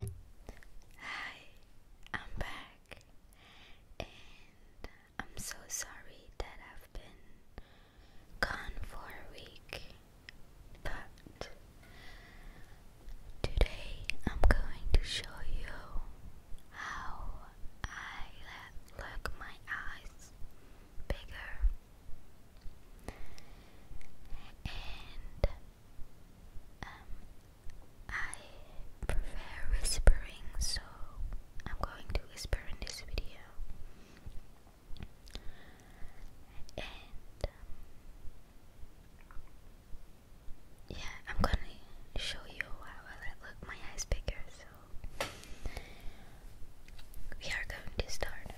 Hi, I'm back, and I'm so sorry that I've been gone for a week, but today I'm going to show you how I let look my eyes bigger and um, I prefer whispering so I'm going to whisper in this video and um, yeah I'm gonna show you how I let look my eyes bigger we are going to start.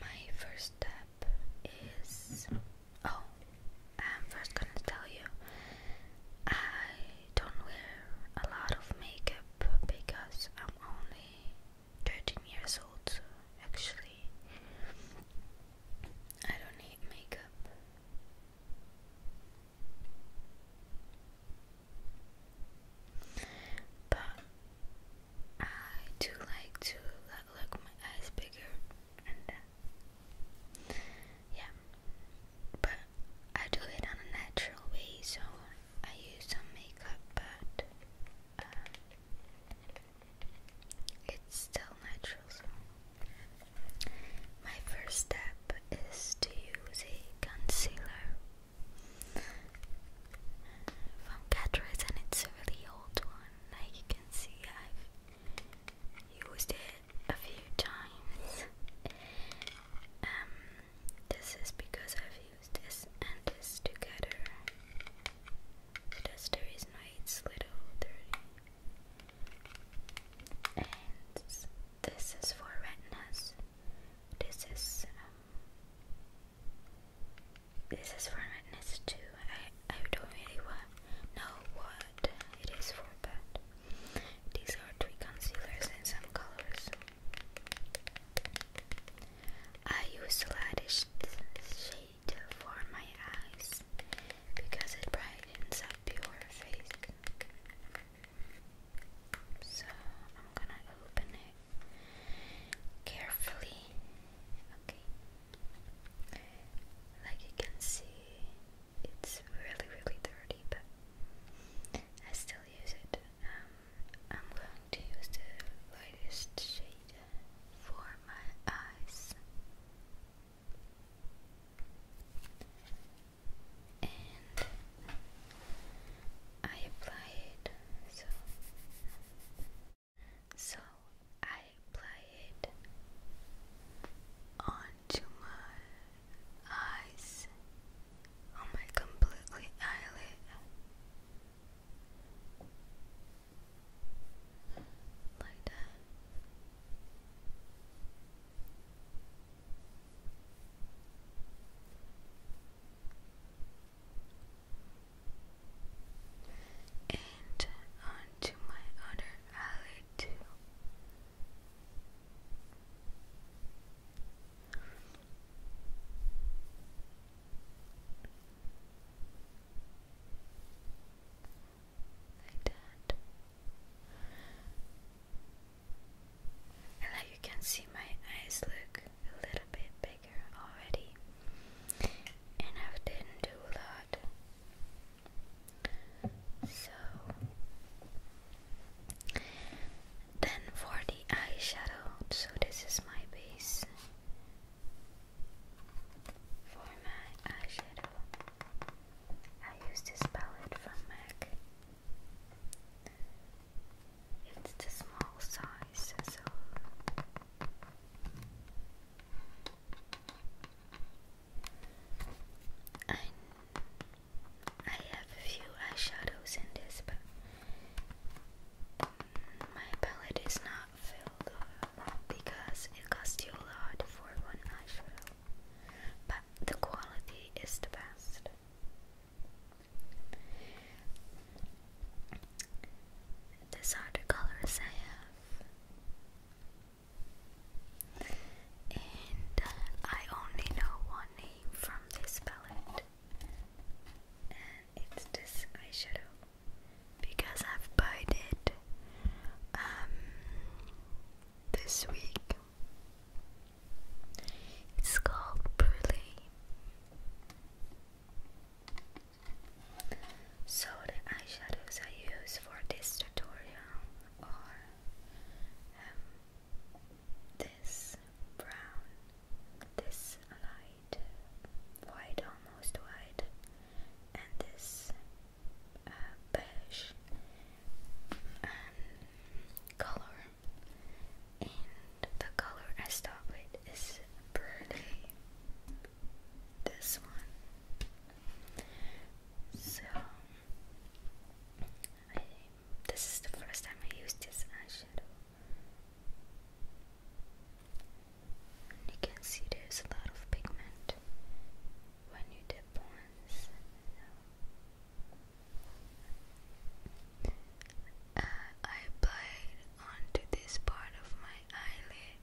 My first step is. Oh, I'm first gonna tell you I don't wear a lot of makeup because I'm only 13 years old, actually. I don't need makeup. But I do like to like my eyes bigger and uh, yeah. But I do it on a natural way, so I use some makeup, but uh, it's still natural commercials. My first step is to use a concealer from Catrice and it's a really old one. Like you can see I've used it a few times. Um this is because I've used this and this together. So that's the reason why it's a little dirty and this is for redness. this is um, this is for redness too I, I don't really want know what it is for but these are three concealers in some colors I use the lightest shade for my eyes because it brightens up your face. So I'm gonna open it carefully. Okay. Like you can see, it's really, really dirty, but I still use it. Um, I'm going to use the lightest shade for my eyes and I apply it so so I apply it onto my eyes on my completely eyelid like that and on to my other alley too like that. And like you can see, my eyes look a little bit bigger already, and I didn't do a lot. So, then for the eyeshadow, so this is my base for my eyeshadow. I use this palette from MAC. It's the small size, so I, I have a few eyeshadows in this, but my palette is not filled because it costs you a lot for one eyeshadow but the quality is the best. These are the colors I have, and uh, I only know one name from this palette, and it's this eyeshadow because I've bought it um, this week. It's called Brulee. So the eyeshadows I use for this tutorial are um, this brown, this light, white almost white, and this uh, beige um, color, and the color I start with is burgundy. This one. So this is the first time I use this eyeshadow. you can see there's a lot of pigment when you dip once. Uh, I applied onto this part of my eyelid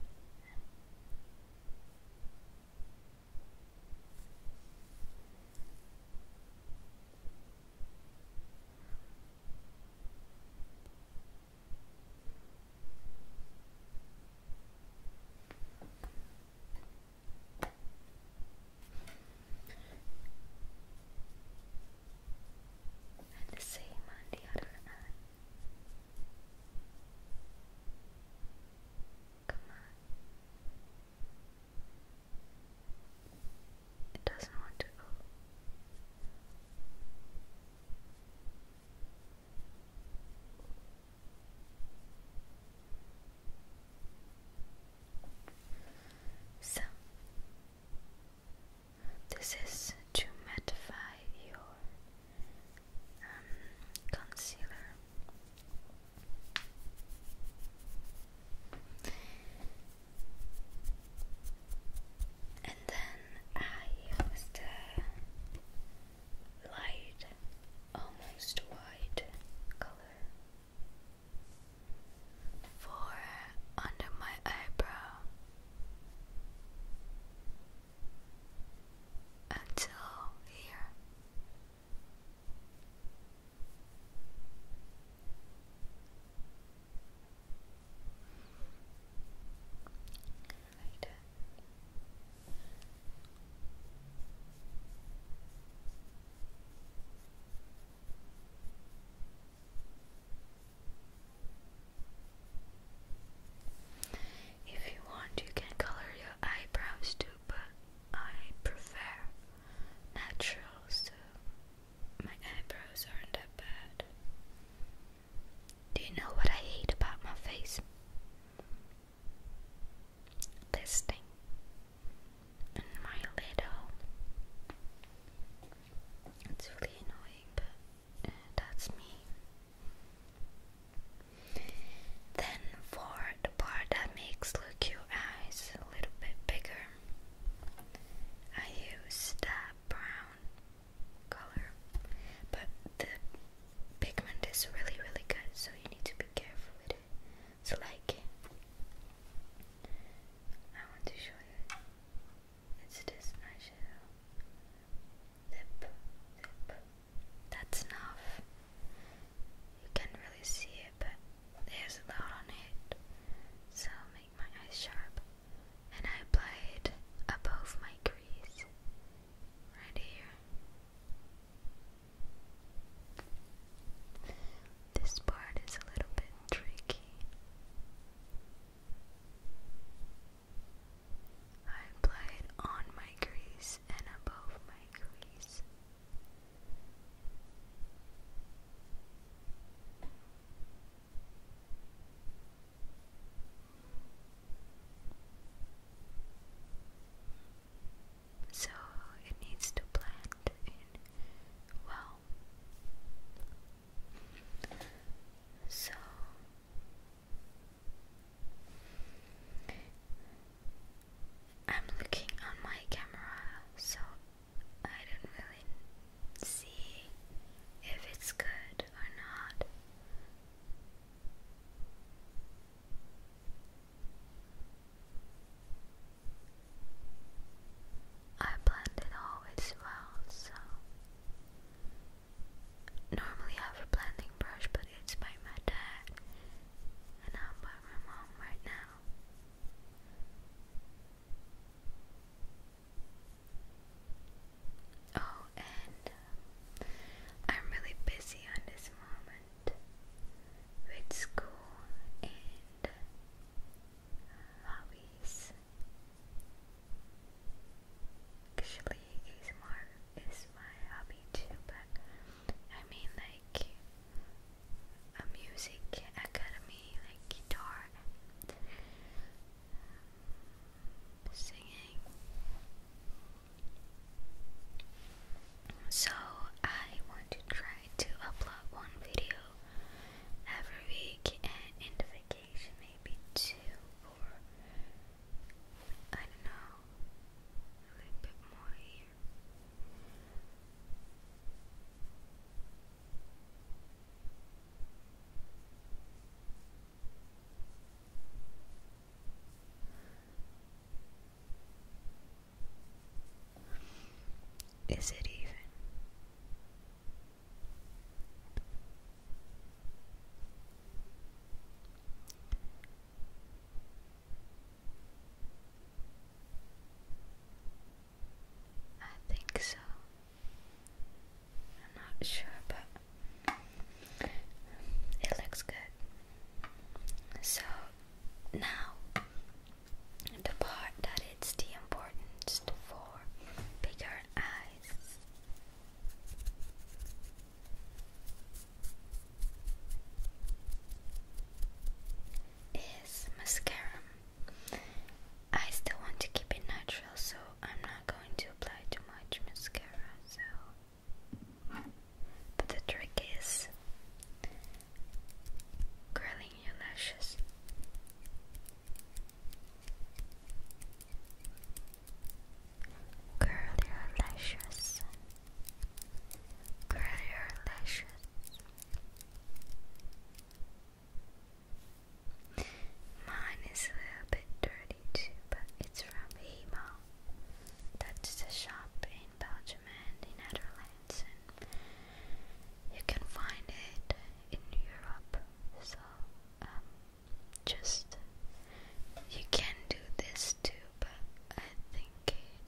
and the same on the other hand. Come on. It doesn't want to go. So, this is to mattify your um, concealer. And then I use the light, almost white color. Four under my eyebrow until here like If you want, you can color your eyebrows too, but I prefer natural, so my eyebrows aren't that bad. Do you know what I hate about my face? This thing. And my little. It's really annoying, but uh, that's me. Then for the part that makes look your eyes a little bit bigger, I use that brown color, but the pigment is really, really good, so you need to be careful with it. So, like, I want to show you it's this eyeshadow. Dip, dip. That's enough. You can really see it, but there's a lot on it, so make my eyes sharp and I apply it above my crease, right here. This part is a little bit tricky. I apply it on my crease and above my crease. So it needs to blend well. So I'm looking on my camera, so I don't really see if it's good or not. I blend it always well, so normally I have a blending brush, but it's by my dad, and I'm by my mom right now. Oh, and um, I'm really busy on this moment with school and uh, hobbies. Actually, ASMR is my hobby too, but I mean like a music academy, like guitar, singing. So, I want to try to upload one video every week and in the vacation, maybe two or I don't know, a little bit more here. Is it even? I think so. I'm not sure, but it looks good. So now the part that it's the importance for bigger eyes. Is mascara. I still want to keep it natural, so I'm not going to apply too much mascara, so. But the trick is curling your lashes. Curl your lashes. Curl your lashes. Mine is a little bit dirty too, but it's from Hemo. That's a shop in Belgium and the Netherlands, and you can find it in Europe. So, um, just you can do this too, but I think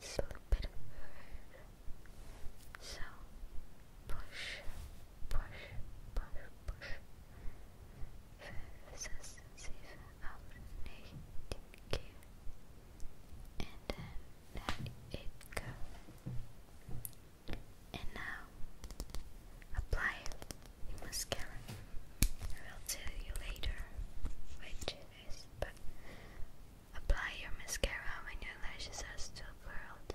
it's a little bit weird. So, push push, push, push. 5, 6, 7, 8, 9, 10 and then it go. And now apply the mascara. I will tell you later which it is, but apply your mascara when your lashes are still curled.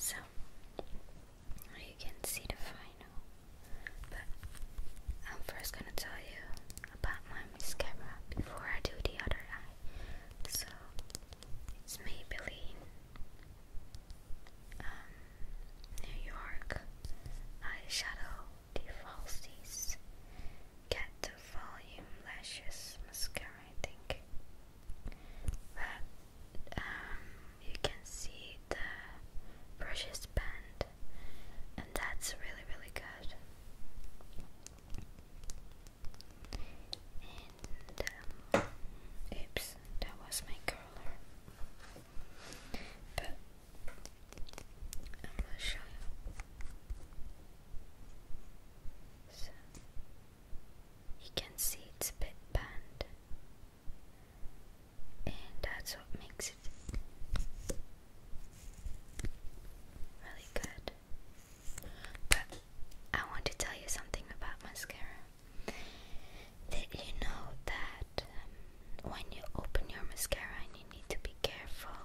So you can see the final, but I'm first gonna tell you about my mascara before I do the other eye. So it's Maybelline, um, New York eyeshadow falsies. Get the volume lashes mascara, I think. But um, you can see the brushes band, and that's really, really good. And um, oops, that was my curler i you. can see it's a bit bent, and that's what makes it really good. But I want to tell you something about mascara. Did you know that um, when you open your mascara and you need to be careful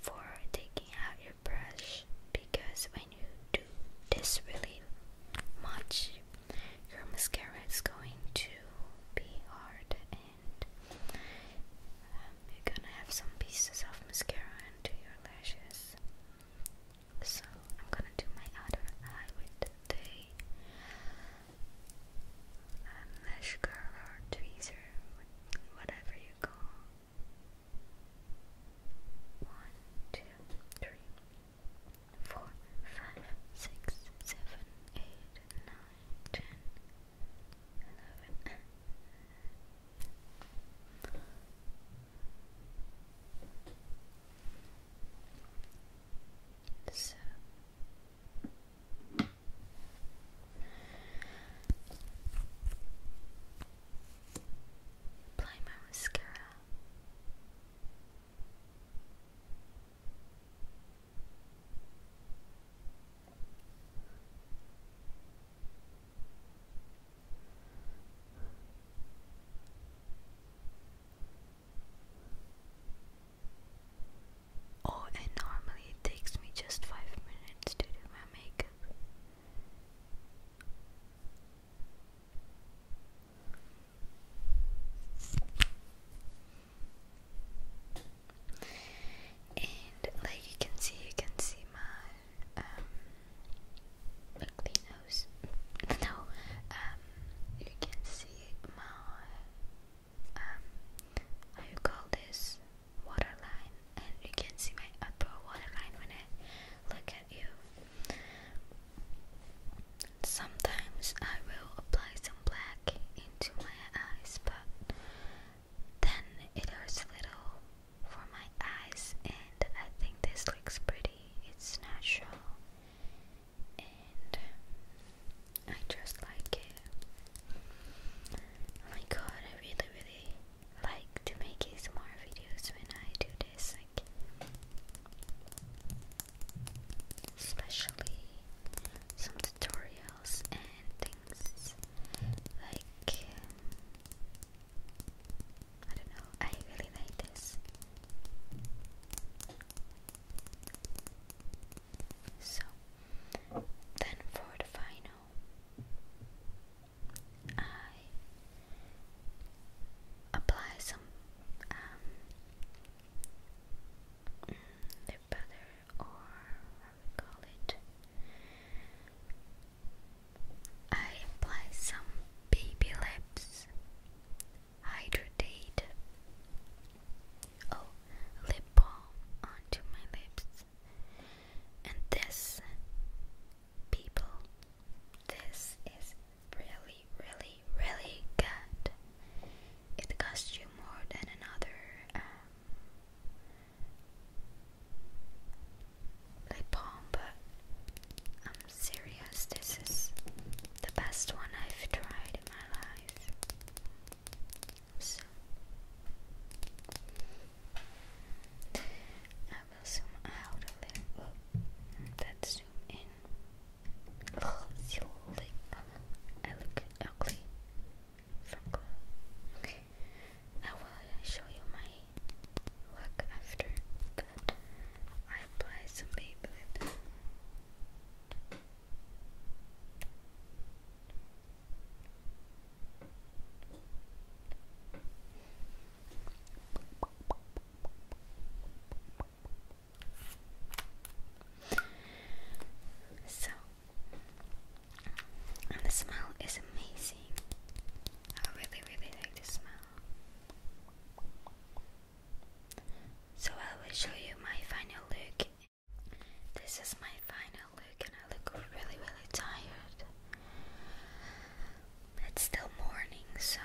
for taking out your brush because when you do this really much your mascara is going to be hard and um, you're gonna have some pieces of mascara into your lashes so I'm gonna do my outer eye with the a mesh tweezer, whatever you call. One, two, three, four, five, six, seven, eight, nine, ten, eleven. So, Apply my mascara. Oh, and normally it takes me just 5 minutes to do my makeup. And like you can see, you can see my um nose. no, um, you can see my um, how you call this waterline, and you can see my upper waterline when I look at you. Sometimes I will apply some black into my eyes, but then it hurts a little for my eyes, and I think this looks pretty. It's natural and I just like it. Oh my god, I really, really like to make ASMR videos when I do this, like, especially some tutorials and things like. I don't know, I really like this. So, then for the final, I apply some um, butter or how we call it. I apply some baby lips Hydrate. Oh, lip balm onto my lips. And this, people, this is really, really, really good. It costs you more than another um, lip balm, but I'm serious, this is the best one I've tried in my life. So I will zoom out a little and then zoom in. I look ugly from close. I will show you my look after. I apply some Beyblade. So, and the smell is amazing. I really, really like the smell. So I will show you my final look. This is my final look and I look really really tired. It's still morning so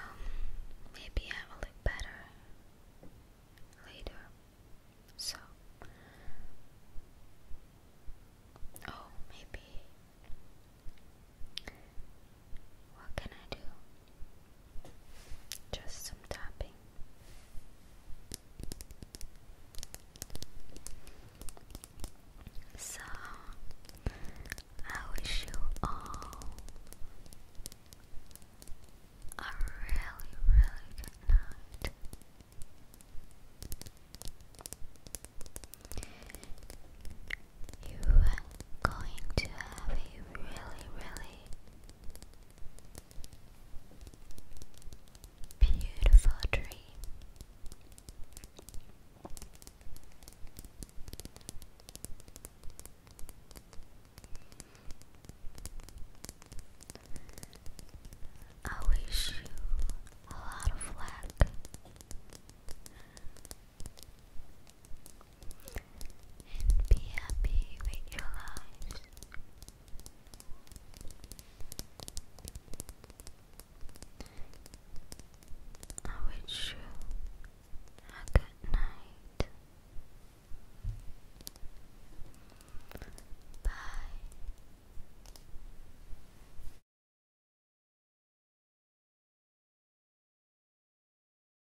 maybe I will look better later. So Oh, maybe. What can I do? Just some tapping. So, I wish you all a really, really good night. You are going to have a really, really Beautiful dream. I wish you a lot of luck and be happy with your lives. I wish you a good night. Bye.